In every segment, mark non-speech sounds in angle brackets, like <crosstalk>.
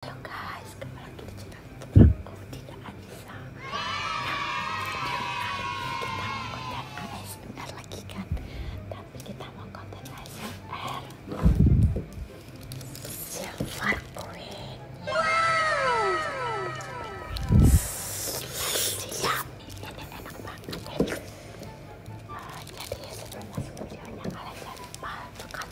Halo guys, kembali lagi di channel YouTube aku Dinda Anissa. Nah, ini kita mau konten ASMR lagi kan? Tapi kita mau konten ASMR silver queen. Wow. ini enak banget. Ya. Uh, jadi sebelum masuk videonya kalian lupa tekan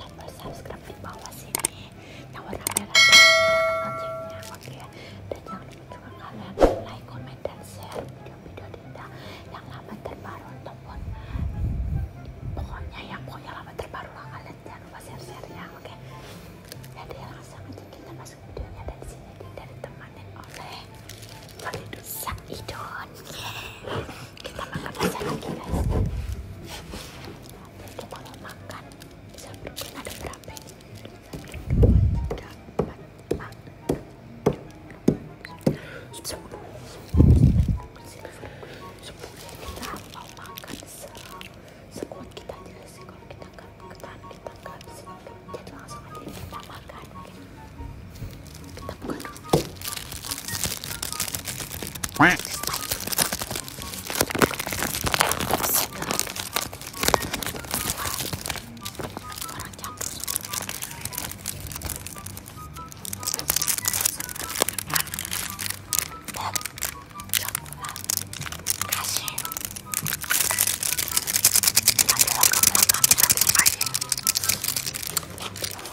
tombol subscribe di bawah sini yang warna merah dan loncengnya oke ya. dan juga kalian like, comment, dan share video-video yang lama terbaru ataupun pokoknya pokoknya lama terbaru lah kalian jangan lupa share ya, oke jadi langsung aja kita masuk videonya sini oleh kita makan aja lagi guys habis kita makan bisa berdua ada berapa ini? kita mau makan sekuat kita aja sih kita gak ketahan kita gak bisa jadi langsung aja kita makan プレッシャー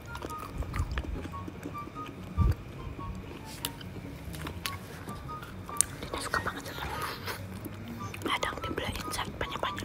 suka banget sama kadang dibeliin set banyak-banyak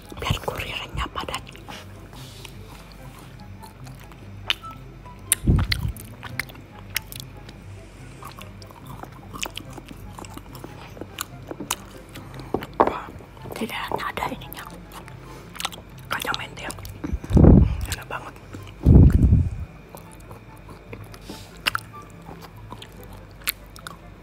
biar kurirnya padat Wah, ada ininya kacang mente enak banget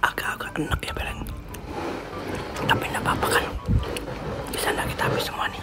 agak-agak enak ya bareng tapi enggak apa-apa kan bisa enggak kita habis semuanya?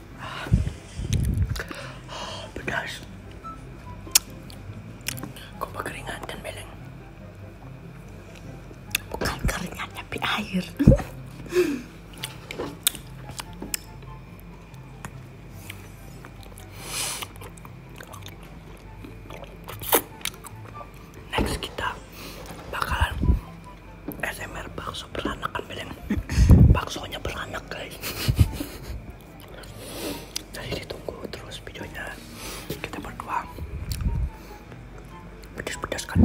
Oh, pedas. Kok berkeringatan, Meleng? Bukan keringat, tapi air. Next kita bakalan SMR bakso langsung beranak kan bilang baksonya beranak guys jadi ditunggu terus videonya kita berdua pedas-pedas kan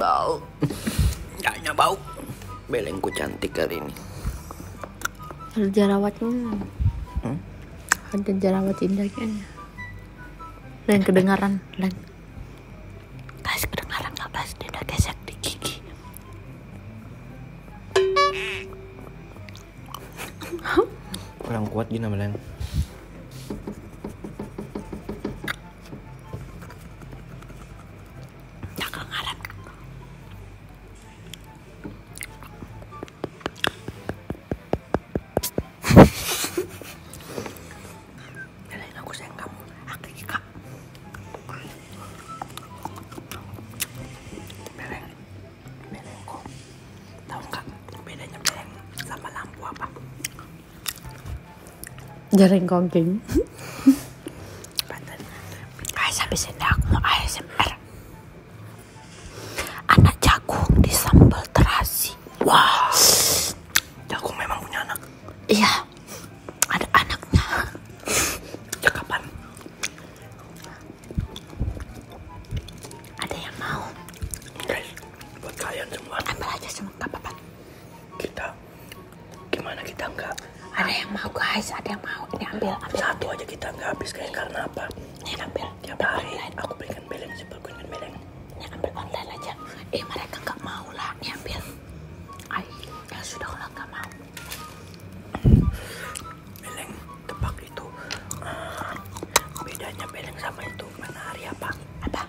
bau Kayaknya bau Belengku cantik kali ini Ada jerawatnya hmm? Ada jerawat indahnya Lain nah, kedengaran Lain Guys kedengaran gak udah gesek di gigi kurang kuat gini namanya lain aku sayang kamu Bereng, berengko. bedanya bereng sama lampu apa? Jaring kongking. Ayo Guys, habis aku mau ASMR. Anak jagung disambal terasi. Wah. Wow. Jagung memang punya anak. Iya ada anaknya cakapan ya, ada yang mau guys buat kalian semua ambil aja semua nggak apa-apa kita gimana kita nggak ada yang mau guys ada yang mau ini ambil, satu aja kita nggak habis guys karena apa ini ambil tiap hari aku pengen beleng sih belikan beleng ini ambil online aja eh mereka nggak mau lah ini ambil Ay ya sudah kalau nggak mau beleng tebak itu ah, bedanya beleng sama itu matahari apa apa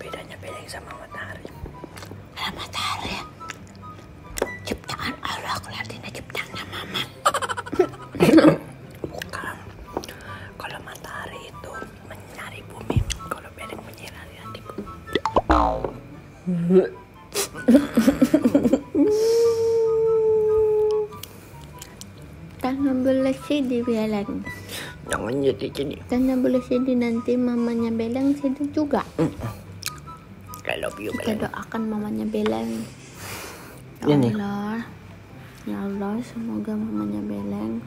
bedanya beleng sama matahari matahari ya? ciptaan Allah ciptaannya mama <coughs> bukan kalau matahari itu menyari bumi kalau beleng Tangan bersih di belang. Jangan jadi jadi. Tangan bersih di nanti mamanya belang sedih juga. Kalau mm. I love you belang. Kita doakan mamanya belang. Ya Allah. Ya Allah, semoga mamanya Beleng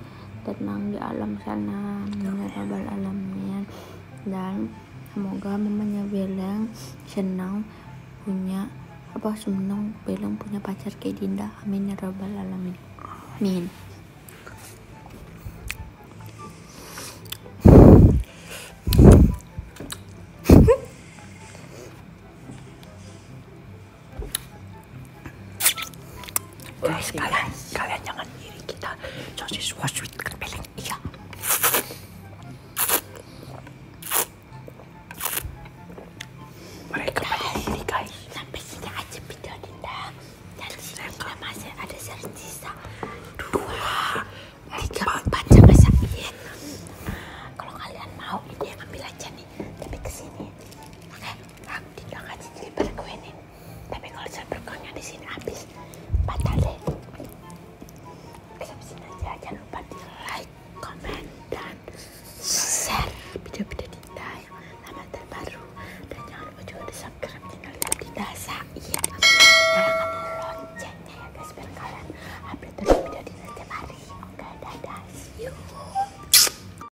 tenang di alam sana menyerabal alamnya dan semoga mamanya Beleng senang punya apa senang Beleng punya pacar kayak Dinda amin ya rabbal alamin amin Guys, kalian, kalian jangan iri kita. Sosis was with kepiling. Iya. Mereka guys, pada guys. Sampai sini aja video Dinda. ada sisa dua, tiga, empat sama Kalau kalian mau, ini ambil aja nih. Tapi kesini, oke? Okay? Dinda kasih deliver tapi kalau serberkonnya di sini habis batal deh kehabisin aja jangan lupa di like comment dan share video-video Dinda yang lama terbaru dan jangan lupa juga di subscribe channel Dinda saya nyalakan loncengnya ya guys biar kalian update terus video Dinda tiap hari oke dadah see you